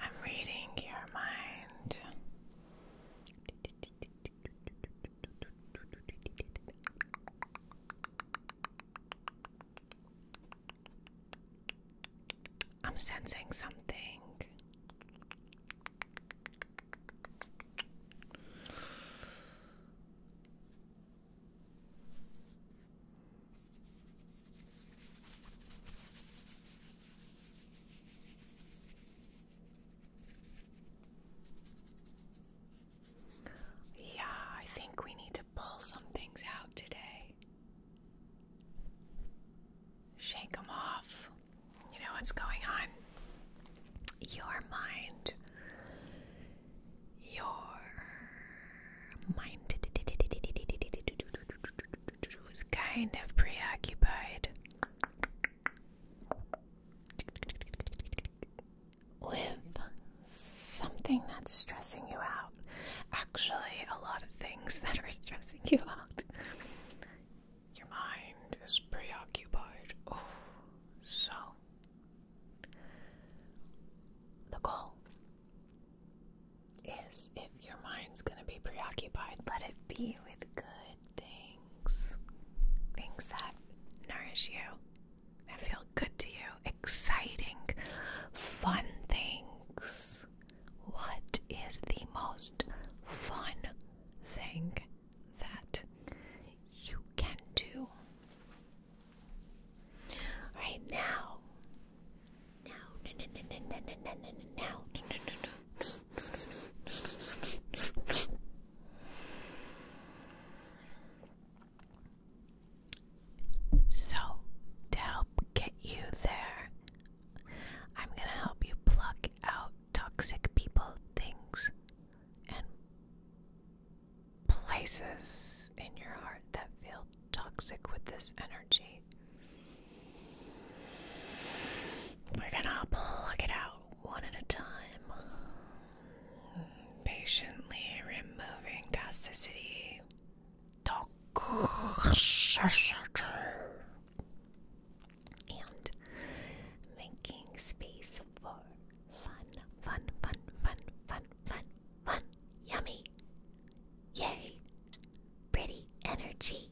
I'm reading your mind. I'm sensing something. Yeah, I think we need to pull some things out today. Shake them off. You know what's going on. Your mind. Your mind is kind of preoccupied with something that's stressing you out. Actually, a lot of things that are stressing you out. Your mind is preoccupied. Oh, so the goal is if your mind's going to be preoccupied, let it be with good things. Things that nourish you, that feel good to you, exciting, fun things what is the most fun thing that you can do right now? So, to help get you there, I'm going to help you pluck out toxic people, things, and places in your heart that feel toxic with this energy. We're going to pluck it out one at a time, patiently removing toxicity and making space for fun, fun, fun, fun, fun, fun, fun, yummy, yay, pretty energy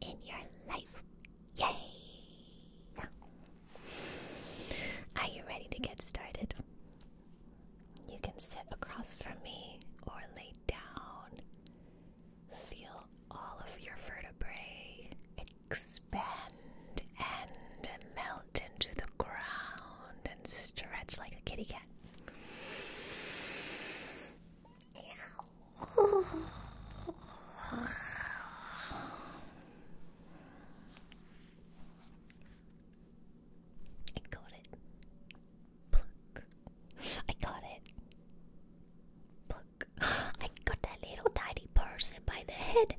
in your life, yay. Are you ready to get started? You can sit across from me or lay down. Feel all of your vertebrae expand and melt into the ground and stretch like a kitty cat. I got it. Pluck. I got it. Pluck. I got that little tiny person by the head.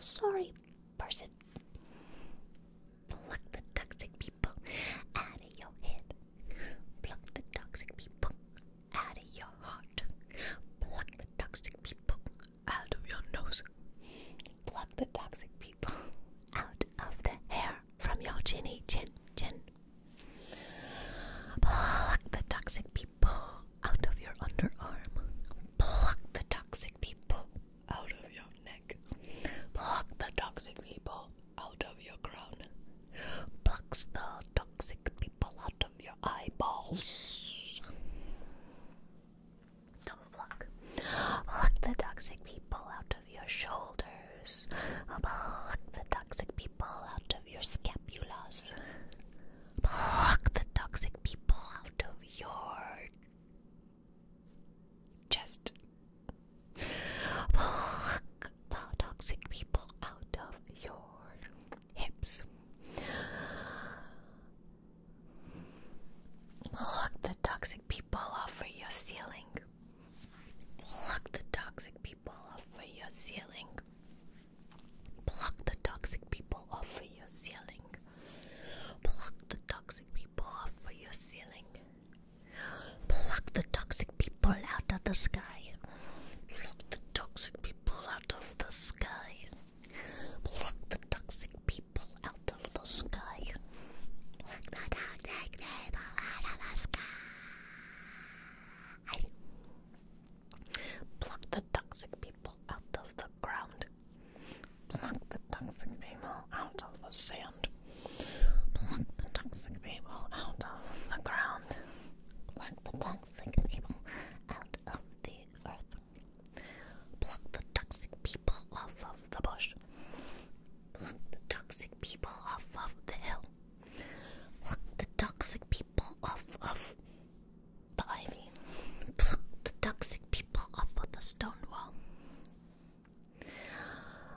Sorry, person. Pluck the toxic people out of your head. Pluck the toxic people out of your heart. Pluck the toxic people out of your nose. Pluck the toxic people out of the hair from your chinny chin chin. Pluck the toxic people out of your underarm. Pluck the toxic people out of your neck. Pluck the toxic people out of your crown. Pluck the toxic people out of your your eyeballs. Don't the toxic people out of your shoulders. Pluck the toxic people out of your scapulas. Pluck the toxic people out of your chest. Pluck the toxic people out of your hips. Look the toxic people off for your ceiling. Pluck the toxic people off for your ceiling. Pluck the toxic people off for your ceiling. Pluck the toxic people off for your ceiling. Pluck the toxic people out of the sky. Pluck the toxic people out of the sky. Pluck the toxic people out of the sky. Pluck the toxic people out of the sky. Pluck the toxic people out of the ground. Pluck the toxic people out of the sand. Pluck the toxic people out of the ground and pluck the toxic people out of the earth. Pluck the toxic people off of the bush. Pluck the toxic people off of the hill. Pluck the toxic people off of the ivy. Pluck the toxic people off of the stone wall.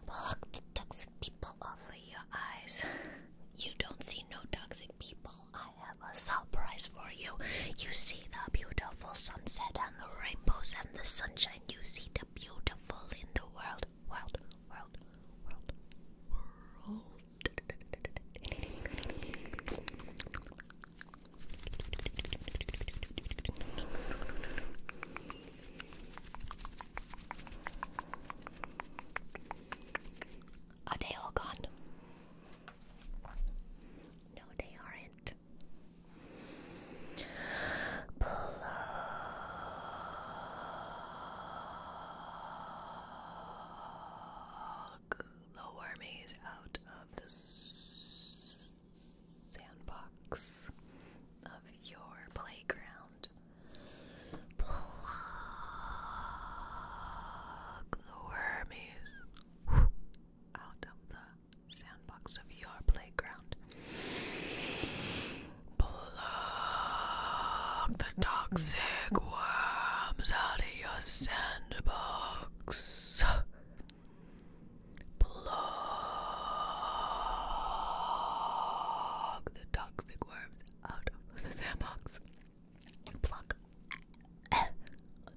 Pluck the toxic people off your eyes. You don't see no toxic people. I have a surprise for you. You see the beautiful sunset and the rainbows and the sunshine. You see the beautiful in the world. World, world, world, world. Are they all gone? No, they aren't. Plug the wormies out of the sandbox of your playground. Pluck the wormies out of the sandbox of your playground. Pluck the toxic worms out of your sandbox. Plug the toxic worms out of the sandbox. Pluck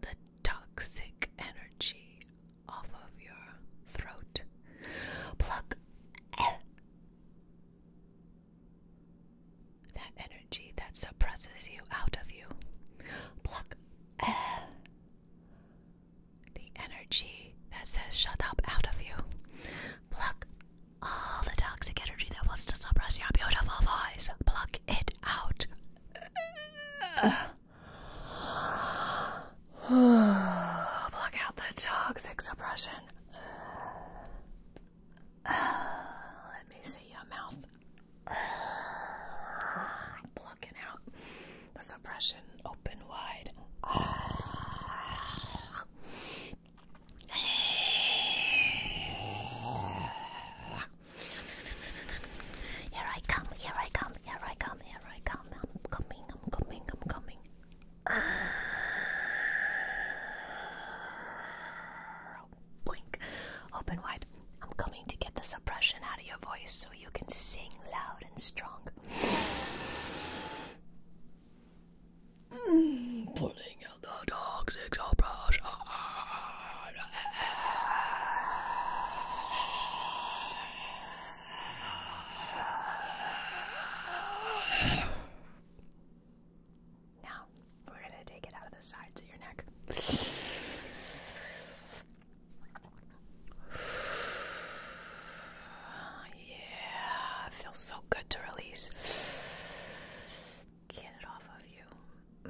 the toxic energy off of your throat. Pluck that energy that suppresses you out of you. Pluck the energy that says shut up out of you. Pluck all the toxic energy that wants to suppress your beautiful voice. Pluck it out. Pluck out the toxic suppression. Let me see your mouth. Plucking out the suppression open wide. Here I come, here I come, here I come, here I come. I'm coming, I'm coming, I'm coming. Blink. Open wide. I'm coming to get the suppression out of your voice so you can sing loud and strong. pulling out the toxic brush. Ah, ah, ah, now we're gonna take it out of the sides of your neck. Yeah, feels so good to release. Get it off of you.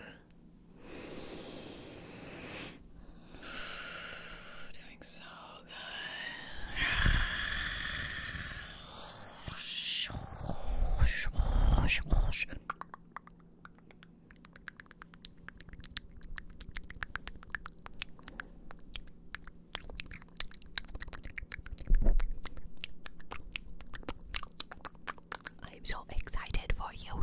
Doing so good. I'm so excited for you.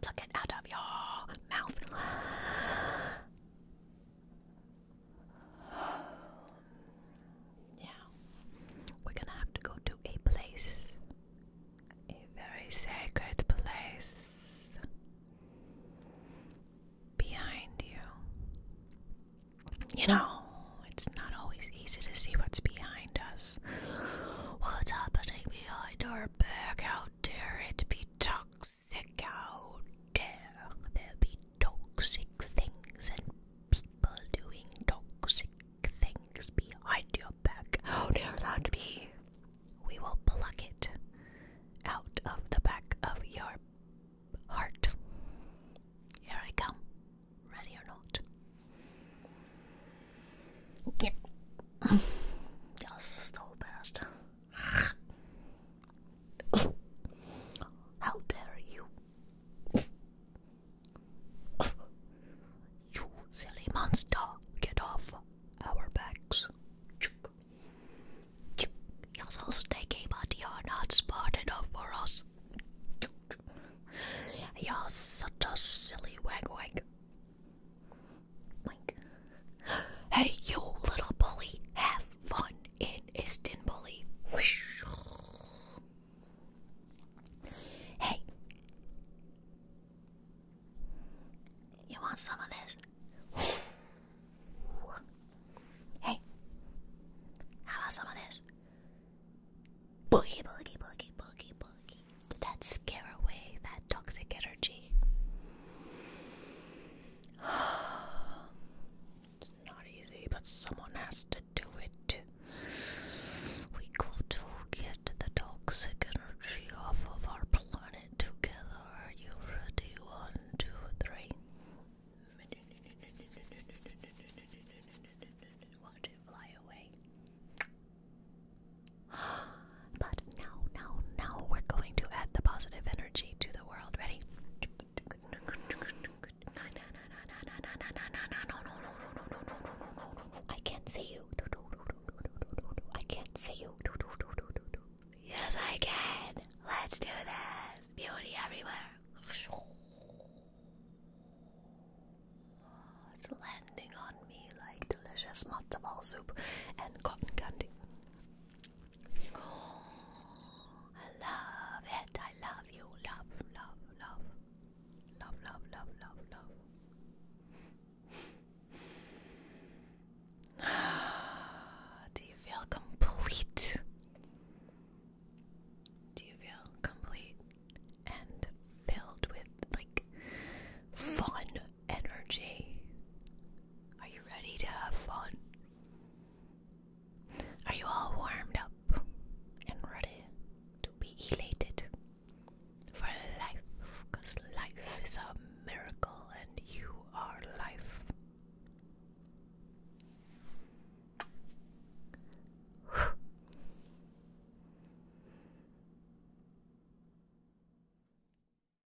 Pluck it out of your mouth yeah, we're gonna have to go to a place, a very sacred place behind you. You know, it's not always easy to see what's behind us. What's happening behind our back? How dare it be toxic? How dare there be toxic things and people doing toxic things behind your back. How dare that be? We will pluck it out of the back of your heart. Here I come. Ready or not? Yep. Just so how dare you? you silly monster, get off our backs. You're so sticky, but you're not smart enough for us. You're such a silly wag wag. hey, you little bully, have fun in Istanbuli. Hey, you want some of this? Hey, how about some of this? Boogie, boogie, boogie, boogie, boogie. Did that scare away that toxic energy? It's not easy, but someone has to do it. We got to get the toxic energy off of our planet together. you ready? One, two, three. Want to fly away? But now, now, now we're going to add the positive energy to the world. Ready? I can't see you. I can't see you. Yes, I can. Let's do this. Beauty everywhere. It's landing on me like delicious matzo ball soup and cotton candy. I love it. I love you. Love, love, love. Love, love, love, love, love. Do you feel complete? Do you feel complete and filled with like fun energy. Are you ready to have fun? Are you all warmed up and ready to be elated for life? Because life is a miracle and you are life.